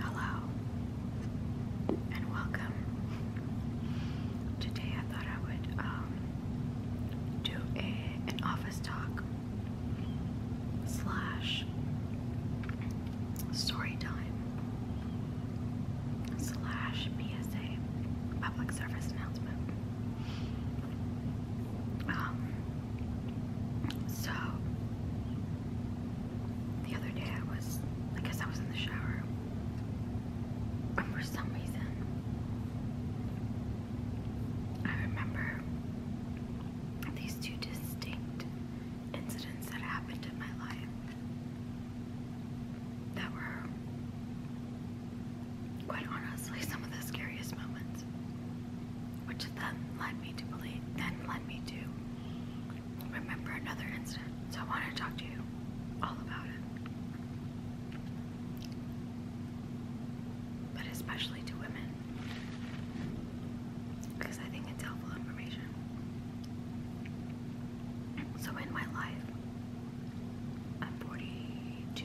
Hello and welcome. Today I thought I would um, do a, an office talk slash story time slash PSA public service announcement. Um, so the other day I was, I guess I was in the shower, and for some reason I remember these two distinct incidents that happened in my life that were, quite honestly, some of the scariest moments which then led me to believe, then led me to remember another incident. So I wanted to talk to you all about it, but especially to women, because I think it's helpful information. So in my life, I'm 42.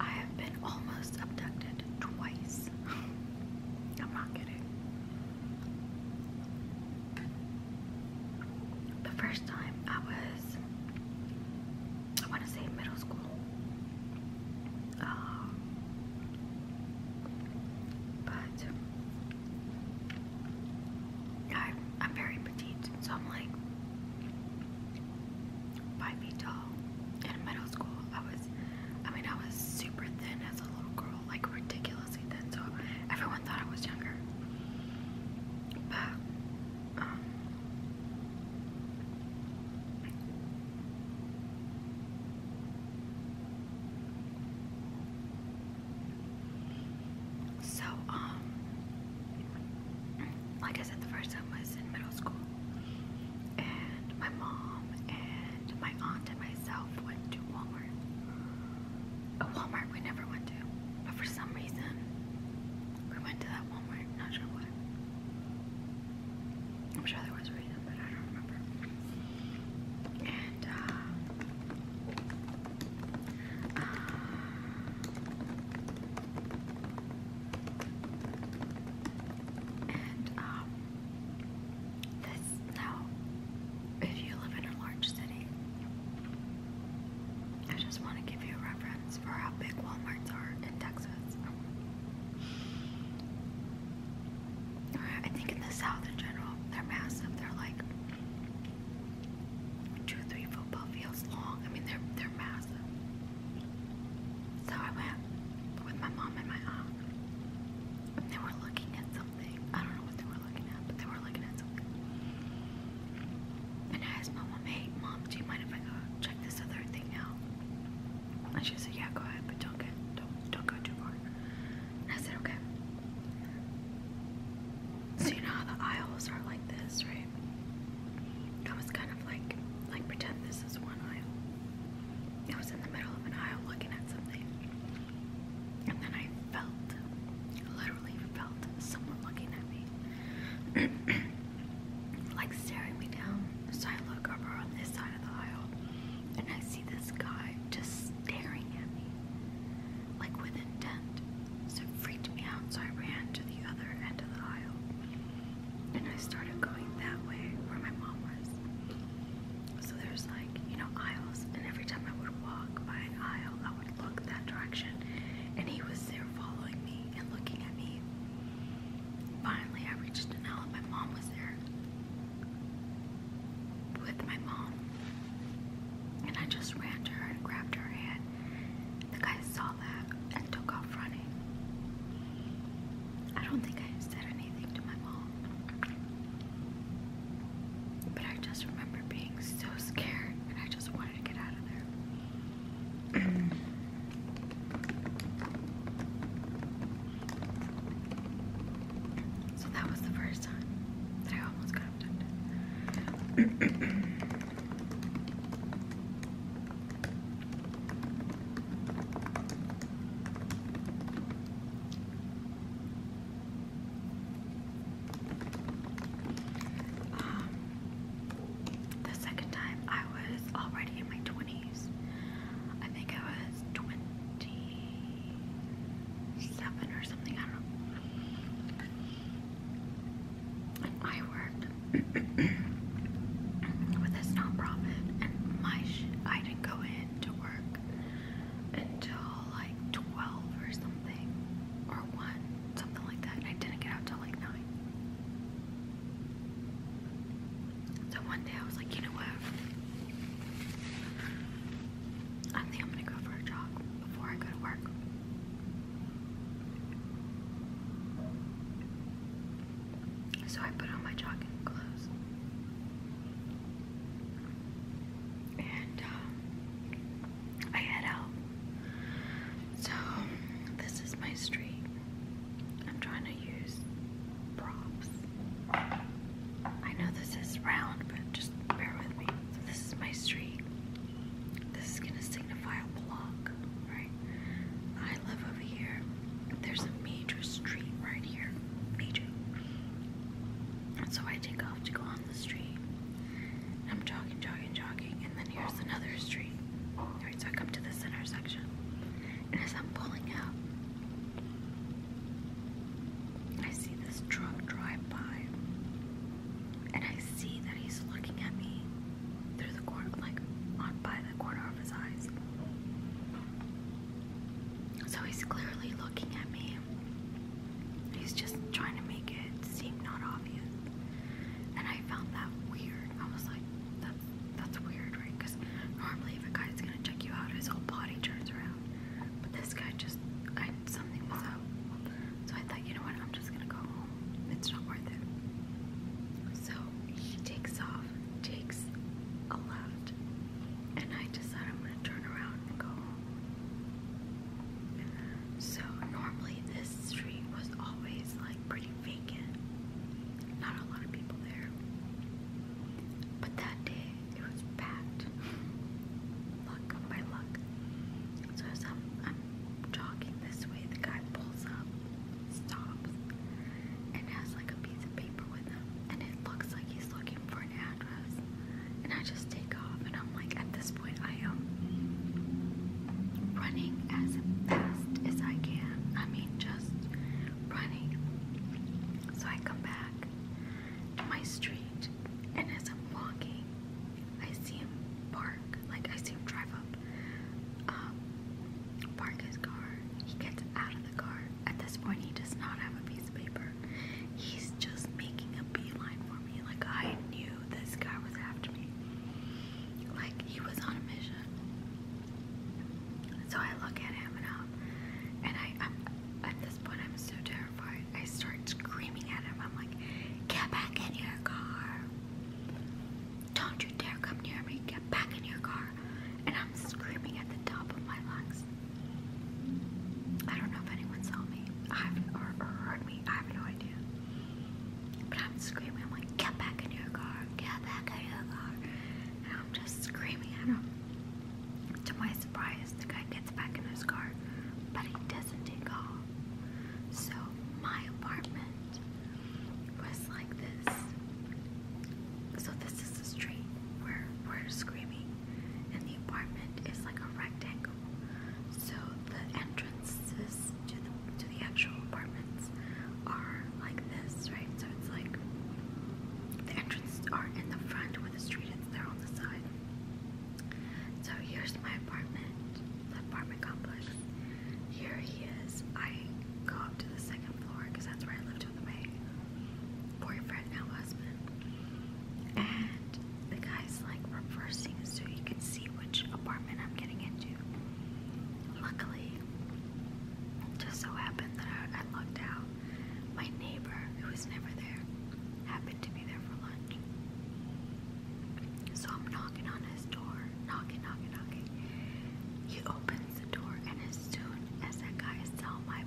I've, been almost abducted twice. I'm not kidding. The first time I was, I want to say middle school. Um, but I'm very petite, so I'm like, five feet tall. In middle school, I was, I mean, I was super thin as a little girl, like ridiculously thin, so everyone thought I was younger. Um, so, um, like I said, the first time was in middle school, and my mom and my aunt and myself went to Walmart. A Walmart we never went to, but for some reason, we went to that Walmart. Not sure why. I'm sure there was a reason, but I don't remember. And uh, uh, um, if you live in a large city, I just want to give you a reference for how big Walmarts are in Texas. I think in the South in general, they're massive. They're like two, three football fields long. I mean, they're they're massive. So I went with my mom and my aunt. they were looking at something. I don't know what they were looking at, but they were looking at something. And I asked my mom, "Hey, mom, do you mind if I go check this other thing out?" And she said, "Yeah, go ahead, but don't get don't don't go too far." I said, "Okay." So you know how the aisles are like this, right? I was kind of like, like pretend this is one aisle. I was in the middle of an aisle looking at something. And then I felt, literally felt someone looking at me. like staring me down. So I look over on this side of the aisle and I see this guy just staring at me like with intent, so it freaked me out, so I ran to the other end of the aisle. And I started going that way where my mom was. So there's like, you know, aisles, and every time I would walk by an aisle, I would look that direction, and he was there following me and looking at me. Finally, I reached an aisle, my mom was there with my mom, and I just ran to her and grabbed her hand the guy saw that and took off running. I don't think I said anything to my mom. But I just remember being so scared and I just wanted to get out of there. so that was the first time that I almost got abducted. Um, the second time I was already in my 20s. I think I was 27 or something, I don't know. I worked with this nonprofit, and my I didn't go in to work until like 12 or something, or 1, something like that, and I didn't get out till like 9. So one day I was like, you know what? I think I'm gonna go for a jog before I go to work. So I put on my jogging clothes. And um, I head out. So this is my street. I'm trying to use props. I know this is round, but just bear with me. this is my street. This is gonna signify a block, right? I live over here. There's a major street right here. Major. So I take off to go on the street. I'm jogging, jogging, jogging, and then here's another street. Alright, so I come to this intersection. And as I'm pulling out, I see this truck drive by and I see that he's looking at me through the corner, like on by the corner of his eyes. So he's clearly looking at me. He's just trying to make it seem not obvious. And I found that weird. I was like, that's, weird, right? Because normally if a guy's going to check you out, his whole body turns around. But this guy just, something was up. So I thought, you know what, I'm just gonna go It's not worth it. So he takes off, takes a left, and I decide I'm gonna turn around and go So normally this street was always like pretty vacant. Not a lot of people there. But that day it was packed. luck, by luck. So as I'm, talking this way, the guy pulls up, stops, and has like a piece of paper with him, and it looks like he's looking for an address. And I just take off, and I'm like, at this point, I am running as fast as I can. I mean, just running. So I come back to my street, and as I'm walking, I see him park, like I see him drive up, um, park his car. He gets out of the car. At this point, he does not have a piece of paper. He's just making a beeline for me. Like I knew this guy was after me. Like he was on a mission. So I look at him and um, and I, I'm, at this point I'm so terrified. I start screaming at him. I'm like, get back in your car. Don't you dare come near me. Get back in your car. And I'm screaming at the top of my lungs. I don't know if anyone saw me I've, not heard me. I have no idea. But I'm screaming. I'm like, get back in your car. Get back in your car. And I'm just screaming at him. To my surprise, the guy gets back in his car, but he doesn't take off. So my apartment was like this. So this is the street where we're screaming, and the apartment is like a rectangle. So the entrances to the actual apartments are like this, right? So it's like the entrances are in the front with the street, it's there on the side. So here's my apartment, the apartment complex. Here he is. I go up to the second floor because that's where I lived with my boyfriend, now husband. And the guy's like reversing so you can see which apartment I'm getting into. Luckily, just so happened that I, I out. My neighbor, who was never there, happened to be there for lunch. So I'm knocking on his door, knocking, knocking, knocking. He opens the door, and as soon as that guy saw my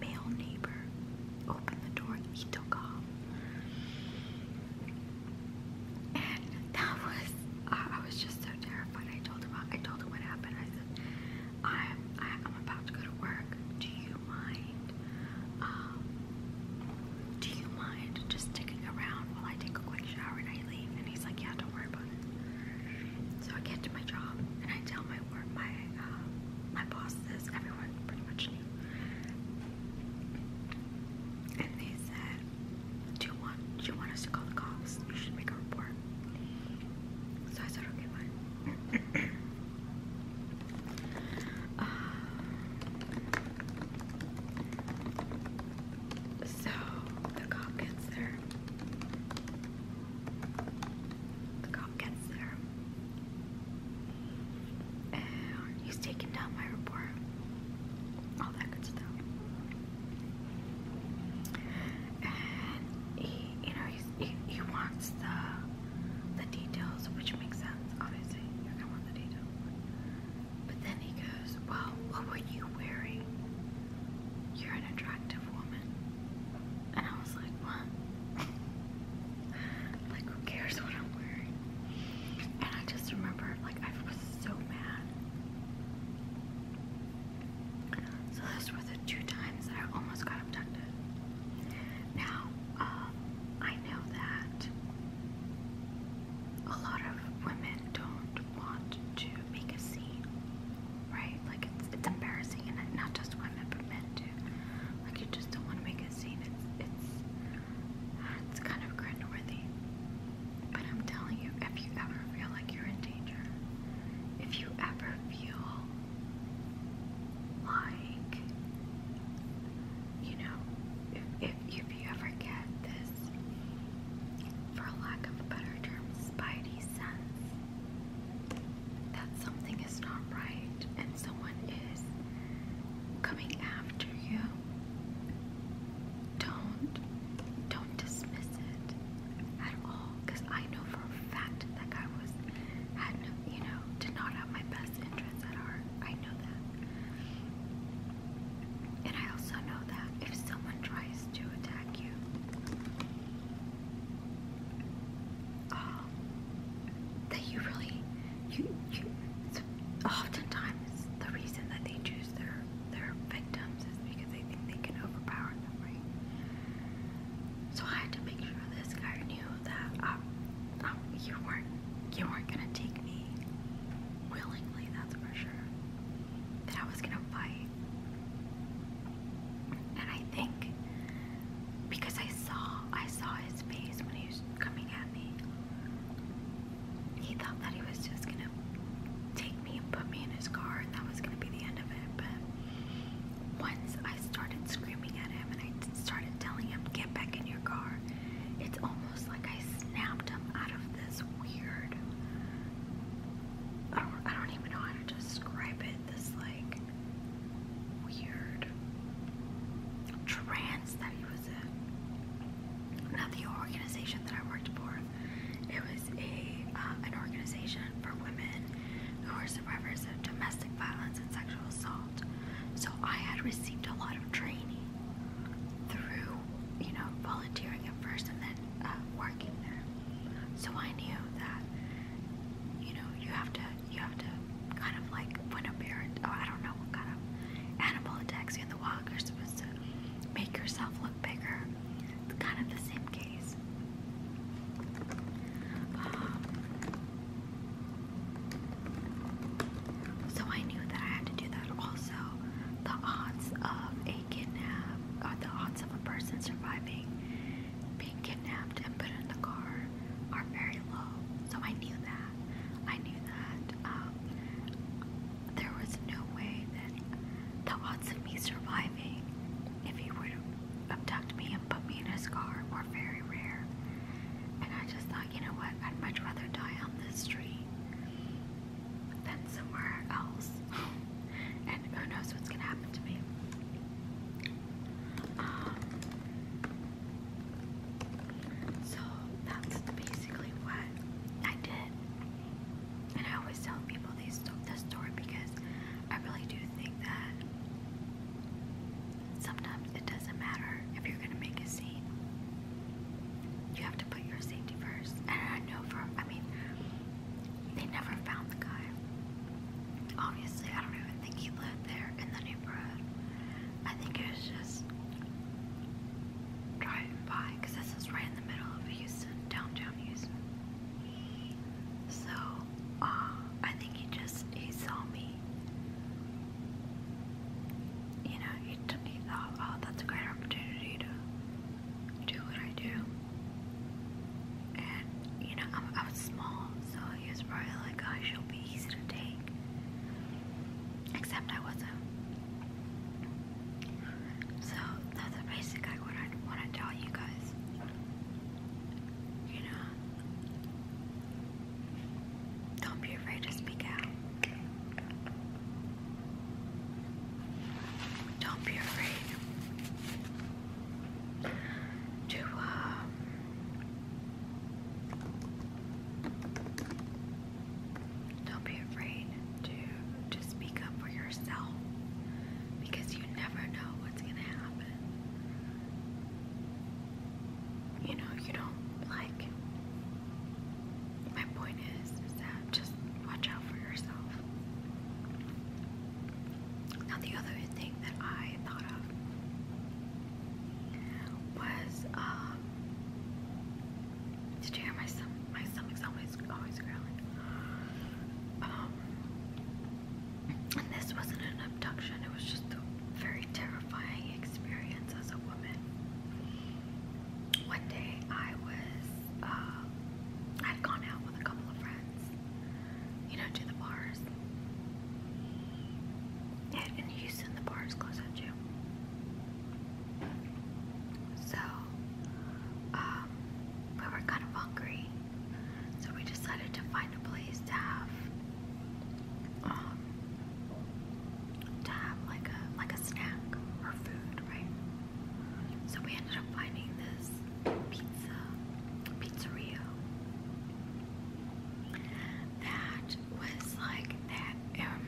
male neighbor open the door, he took off. And that was, I was just so terrified. I told him, I told him what happened. I said, I'm, I, am i am about to go to work. Do you um, do you mind just sticking around while I take a quick shower and I leave? And he's like, yeah, don't worry about it. So I get to my job and I tell my work, my um, my boss Everyone pretty much And they said, do you want do you want us to call the cops? You should make a report. So I said, okay, fine so the cop gets there. The cop gets there. And he's taking down my report. All that good stuff. And he, you know, he, he wants the the details, which makes sense, obviously. You're gonna want the details. But then he goes, Well, what were you wearing? You're an attractive woman. And I was like, What? like, who cares what I'm wearing? And I just remember, like, I was so mad. So, those were the two times I almost got abducted. Now, uh, I know that a lot of women don't want to make a scene, right? Like it's it's embarrassing, and not just women, but men too. Like you just don't want to make a scene. It's it's it's kind of cringeworthy. But I'm telling you, if you ever feel like you're in danger, if you ever feel like you know if, if, if you ever get this for lack of a better term spidey sense that something is not right and someone is coming after you don't don't dismiss it at all because I know for a fact that guy was had no you know, did not have my best interests at heart. I know that. And I also know that if someone tries to attack you, um, that you really, you, you, oftentimes the reason that they choose their, their victims is because they think they can overpower them, right? So I had to make sure this guy knew that um, Oh, you weren't you weren't gonna take me willingly, that's for sure. That I was gonna fight. And I think because I saw I saw his face when he was coming at me. He thought that he was just gonna take me and put me in his car and that was gonna be the end of it, but once I started screaming at him and I started telling him, Get back in your car, it's almost like I snapped him out of this weird. I don't, I don't even know how to describe it. This, like, weird trance that he was in. Now, the organization that I worked for, it was a uh, an organization for women who were survivors of domestic violence and sexual assault. So I had received a lot of training through, you know, volunteering at first and then uh, working there. So I knew that, you know, you have to, you have to kind of like when a parent, oh, I don't know what kind of animal attacks you in the wild, you're supposed to make yourself look bigger. It's kind of the same case. Um, so I knew that I had to do that also. The odds of a kidnap, the odds of a person surviving being kidnapped and put in the car are very low. So I knew that. I knew that um, there was no way that the odds of me surviving if he were to abduct me and put me in a scar were very rare. And I just thought, you know what, I'd much rather die on this street than somewhere else. and who knows what's gonna happen to me. Um, so that's basically what I did. And I always tell people these, this story because I really do think that sometimes it doesn't matter if you're gonna make a scene. You have to put your safety first. And I know for I mean they never found the guy. Obviously, I don't even think he lived there in the neighborhood. I think it was just driving by because this is right in the middle of Houston, downtown Houston. So, uh, I think he just he saw me you know, it took me thought, oh, oh, that's a great opportunity to do what I do. And, you know, I'm, was small, so he was probably like, oh, "I should be easy to take. Except I wasn't. So, that's basically what I want to tell you guys. You know, don't be afraid to speak out. Don't be afraid to um, don't be afraid to to speak up for yourself because you never know what's gonna happen you know, you don't like. My point is, is that just watch out for yourself. Now, the other thing that I thought of was, um, did you hear my stomach? My stomach's always, always growling. Um, and this wasn't an abduction, it was just a very terrifying experience as a woman. One day I was, uh, I'd gone out with a couple of friends, you know, to the bars. And in Houston, the bars close at two. So, um, we were kind of hungry so we decided to find a place to have um, to have like a like a snack or food, right? So we ended up finding this pizza pizzeria that was like that um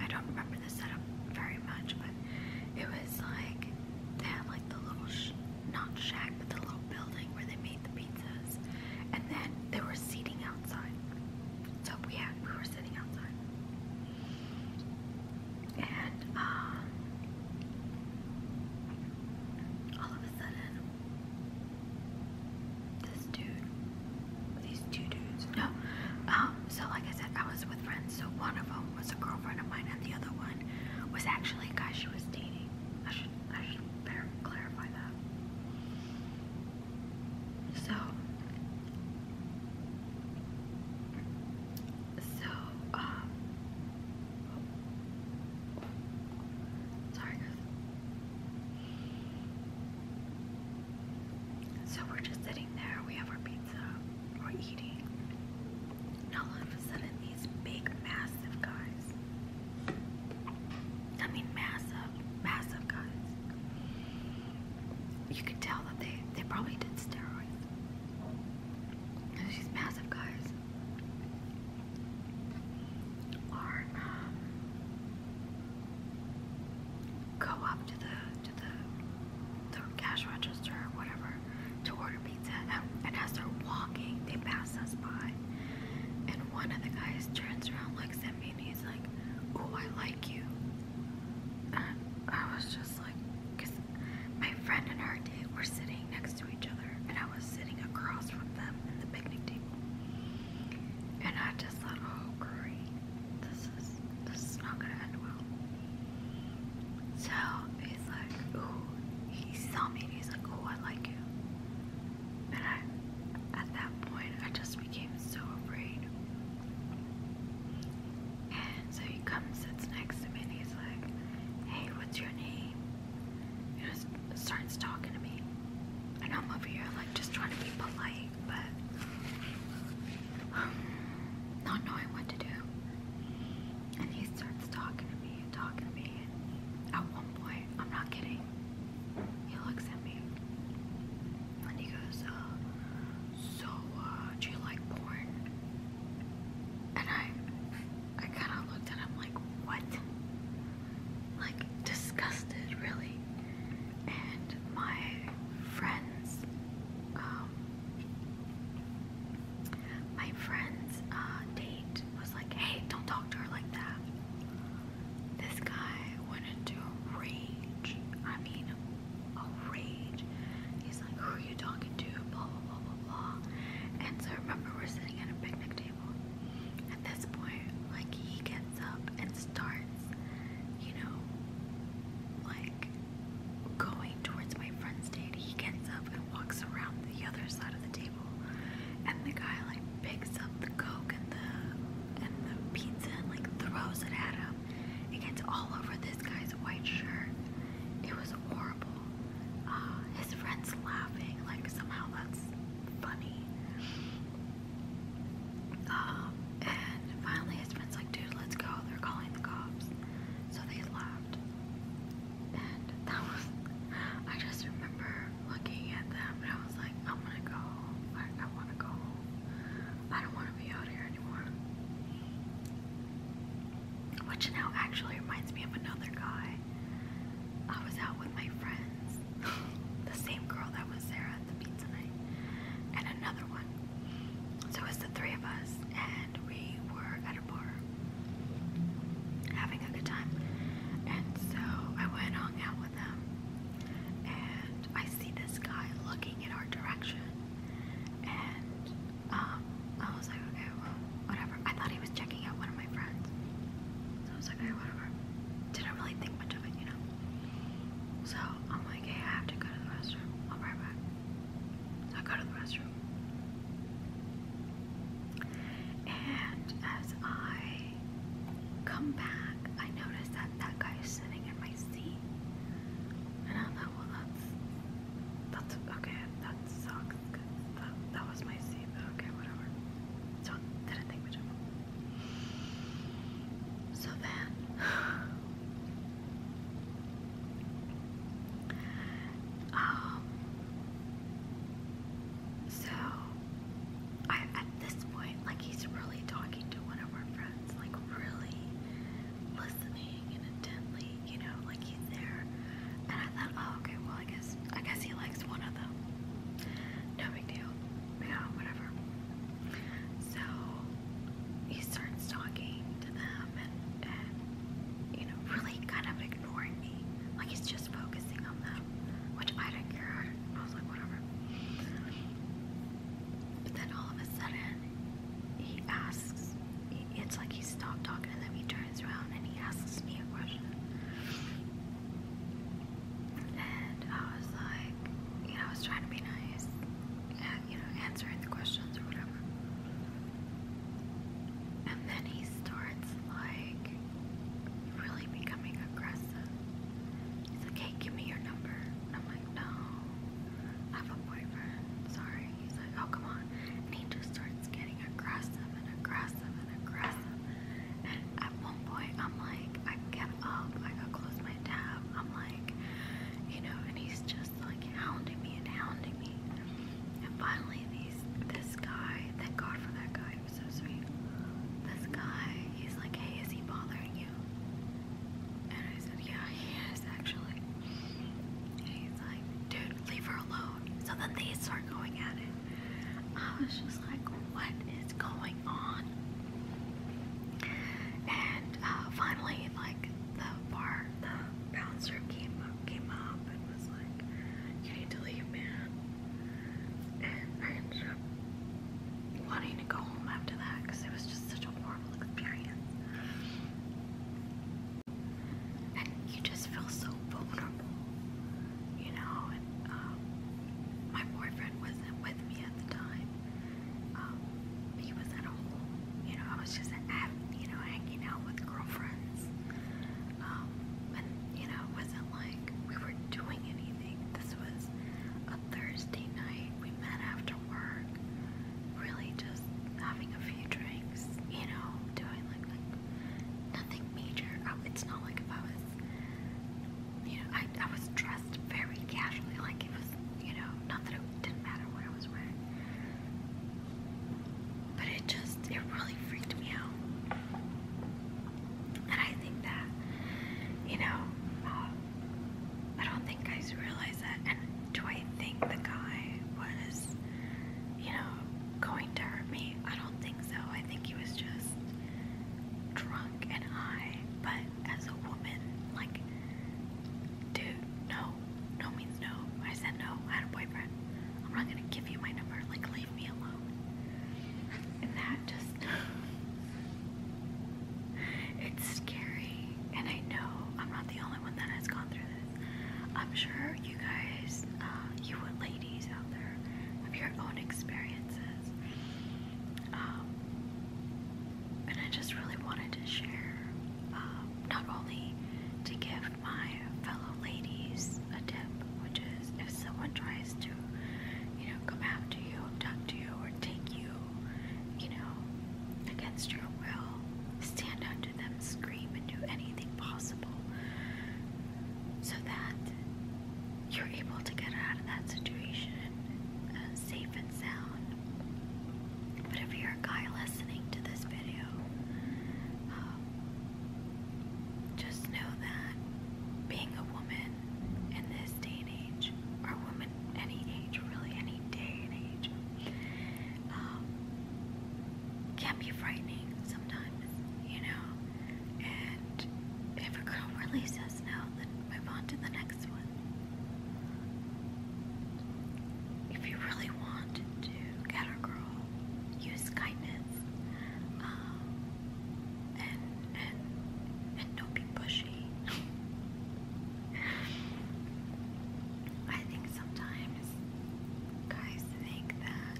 I don't remember the setup very much but it was like they had like the little not shack but the little building where they the pizzas, and then they were seating outside. So we had we were sitting outside, and um, all of a sudden, this dude, these two dudes, no, um, so like I said, I was with friends. So one of them was a girlfriend of mine, and the other one was actually a guy she was dating. I should clarify that. So so um sorry guys. So we're just sitting there, we have our pizza, we're eating, and all of a sudden these big, massive guys. I mean, massive, massive guys. You can tell that they, they probably did steroids. Because these massive guys are, um, go up to the, to the, the cash register or whatever to order pizza, um, and as they're walking, they pass us by. And one of the guys turns around, looks at me, and he's like, "Ooh, I like you." I was just like, because my friend and her date were sitting next to each other, and I was sitting across from them at the picnic table. And I just thought, oh great, this is this is not gonna end well. So he's like, ooh, he saw me and he's like, oh, I like you. And I, at that point, I just became so afraid. And so he comes, sits next to me, and he's like, hey, what's your name? And just starts talking to me. And I'm over here, like, just trying to be polite, but um, not knowing what to do. And he starts talking to me talking to me. at one point, I'm not kidding, he looks at me and he goes, uh, so, uh, do you like porn? And I, I kind of looked at him like, what? Like, disgusted, really. And my friends, um, my friend's uh, date friend was like, hey, don't talk to her like that. This guy went into rage. I mean, a rage. He's like, who are you talking to? Blah, blah, blah, blah, blah. And so I remember we're sitting at a picnic table. At this point, like, he gets up and starts, you know, like, going towards my friend's date. He gets up and walks around the other side of the table and the guy like picks up the coke and the and the pizza and like throws it at him. It gets all over this guy's white shirt. It was horrible. Uh, his friends laughing like somehow that's funny. Um, and finally his friend's like, dude, let's go. They're calling the cops. So they left and that was I just remember looking at them and I was like I want to go I, want to go I don't want to be out here anymore which now actually reminds me of another guy I was out with my friends the same girl that was Sarah at the pizza night and another one so it was the three of us we were at a bar having a good time. And so I went hung out with them, and I see this guy looking in our direction, and um, I was like, okay, well, whatever. I thought he was checking out one of my friends, I was like, okay, whatever. Didn't really think much of it, you know. So I'm like, hey, I have to go to the restroom. I'll be right back. So I go to the restroom. And as I come back, I notice that that guy is sitting in my seat. And I thought, well, that's, that's, okay, that sucks. That, that was my seat, okay, whatever. So, didn't think much of So then, um, so, I at this point, like he's really talking to one of our friends, like really listening intently, you know, like he's there. And I thought, oh, okay, well, I guess, I guess he likes one of them. No big deal. Yeah, whatever. So he starts talking to them and, and you know, really kind of ignoring me. Like he's just focusing on them, which I didn't care. I was like, whatever. But then all of a sudden, he asks, it's like he stopped talking and then he turns around and he asks me a question. And I was like, you know, I was trying to be nice, and, you know, answering the questions or whatever. And then he starts like really becoming aggressive. He's like, hey, give me your number. I'm like, no, I have a boyfriend. Sorry. He's like, oh, come on. And he just starts getting aggressive and aggressive and aggressive. And at one point, I'm like, I get up, I close my tab. I'm like, you know, and he's just like hounding me and hounding me. And finally, these this guy, thank God for that guy, he was so sweet. This guy, he's like, hey, is he bothering you? And I said, yeah, he is actually. he's like, dude, leave her alone. So then they start going at it. I was just like, what is going on? And uh, finally, like the bar the bouncer came up, came up and was like, "You need to man." And I ended up wanting to go home after that because it was just such a horrible experience. And you just feel so vulnerable, you know. And um, my boyfriend wasn't with me at the time. Um, he was at home you know, I was just you know, hanging out with girlfriends. Um, and you know, it wasn't like we were doing anything. This was a Thursday night. We met after work, really just having a few drinks, you know, doing like like nothing major. I, it's not like if I was you know, I, I was dressed very casually, like it was, you know, not that it didn't matter what I was wearing. But it just, it really freaked me out. And I think that, you know, um, I don't think guys realize that. And do I think the guy was, you know, going to hurt me? I don't think so. I think he was just drunk and high. But as a woman, like, dude, no, no means no. I said no, I had a boyfriend. I'm not gonna give you my number, like leave me alone. And that just, it's scary. And I know I'm not the only one that has gone through this. I'm sure you guys, uh, you ladies out there, have your own experiences. Um, and I just really wanted to share, uh, not only to give given my fellow ladies a tip, which is if someone tries to, you know, come after you, abduct you, or take you, you know, against your will, stand up to them, scream, and do anything possible so that you're able to get out of that situation uh, safe and sound. But if you're a guy listening to this video, um, just know that being a woman in this day and age, or a woman any age, really any day and age, um, can be frightening sometimes, you know? And if a girl really says then move on to the next one. If you really want to get our girl use kindness um, and and and don't be pushy. I think sometimes guys think that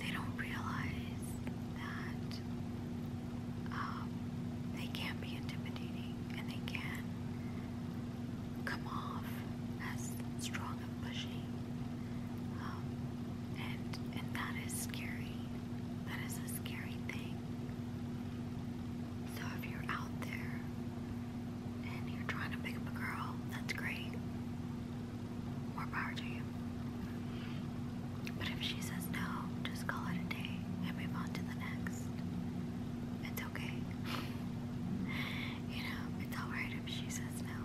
they don't realize that um, they can be intimidating and they can not come off as strong and bushy. Um, and and that is scary. That is a scary thing. So if you're out there and you're trying to pick up a girl, that's great. More power to you. But if she says no, just call it a day and move on to the next. It's okay. you know, it's alright if she says no.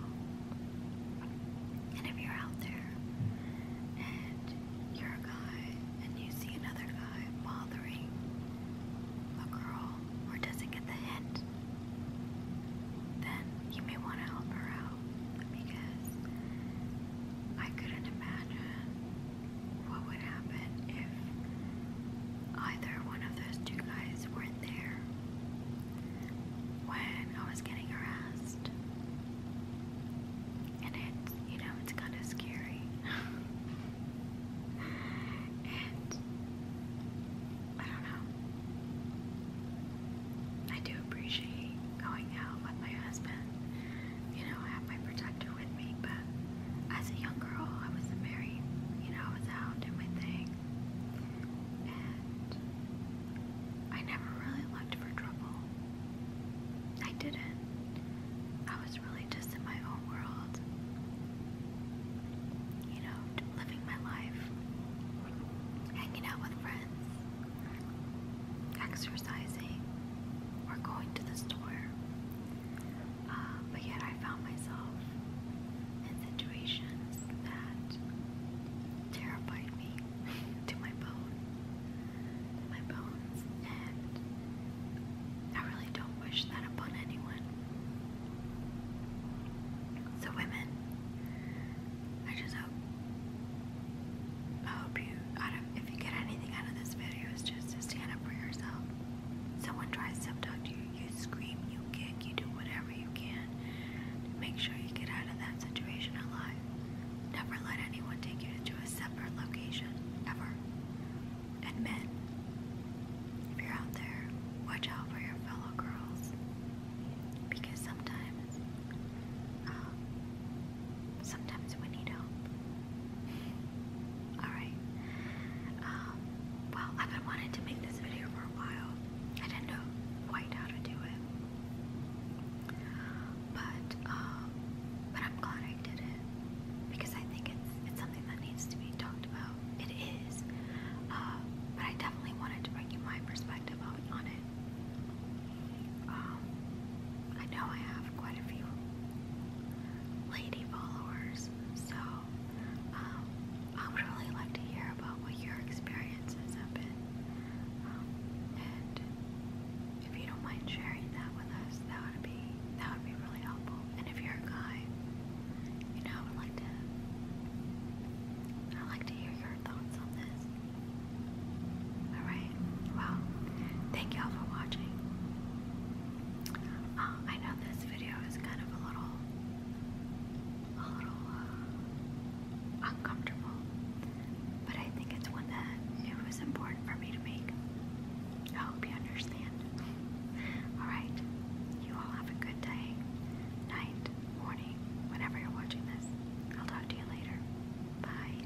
And if you're out there and you're a guy and you see another guy bothering a girl or doesn't get the hint, then you may want to help her out because I couldn't imagine what would happen if either one of those two guys weren't there when I was getting harassed. And it's, you know, it's kind of scary. and I don't know. I do appreciate going out with my husband you know, have my protector with me. But as a young girl, I wasn't You know, I was out doing my thing. And I never really looked for trouble. I didn't. I was really just in my own world. You know, living my life. Hanging out with friends. Exercising. Or going to the store. Um, but yet I found myself in situations that terrified me to my bone, to my bones, and I really don't wish that upon anyone. So women, I just hope, I hope you, out of, if you get anything out of this video, is just to stand up for yourself. Someone tries to abduct you, you scream, you kick, you do whatever you can to make sure you get out of that situation alive. Never let anyone take you to a separate location, ever. And men, if you're out there, watch out for your fellow girls. Because sometimes, um, sometimes we need help. Alright. Um, well, I've been wanting to make this video for a while. I didn't know quite how to do it. But, um, but I'm glad I did it. Because I think it's, it's something that needs to be talked about. It is. Um, but I definitely wanted to bring you my perspective on it. I know I have quite a few lady followers, so um, I would really like to hear about what your experiences have been. Um, and if you don't mind sharing that with us, that would be that would be really helpful. And if you're a guy, you know, I would like to i like to hear your thoughts on this. Alright, well, thank y'all for watching. Um, I know this video is kind of a little, a little uh, uncomfortable, but I think it's one that it was important for me to make. I hope you understand. all right, you all have a good day, night, morning, whenever you're watching this. I'll talk to you later. Bye.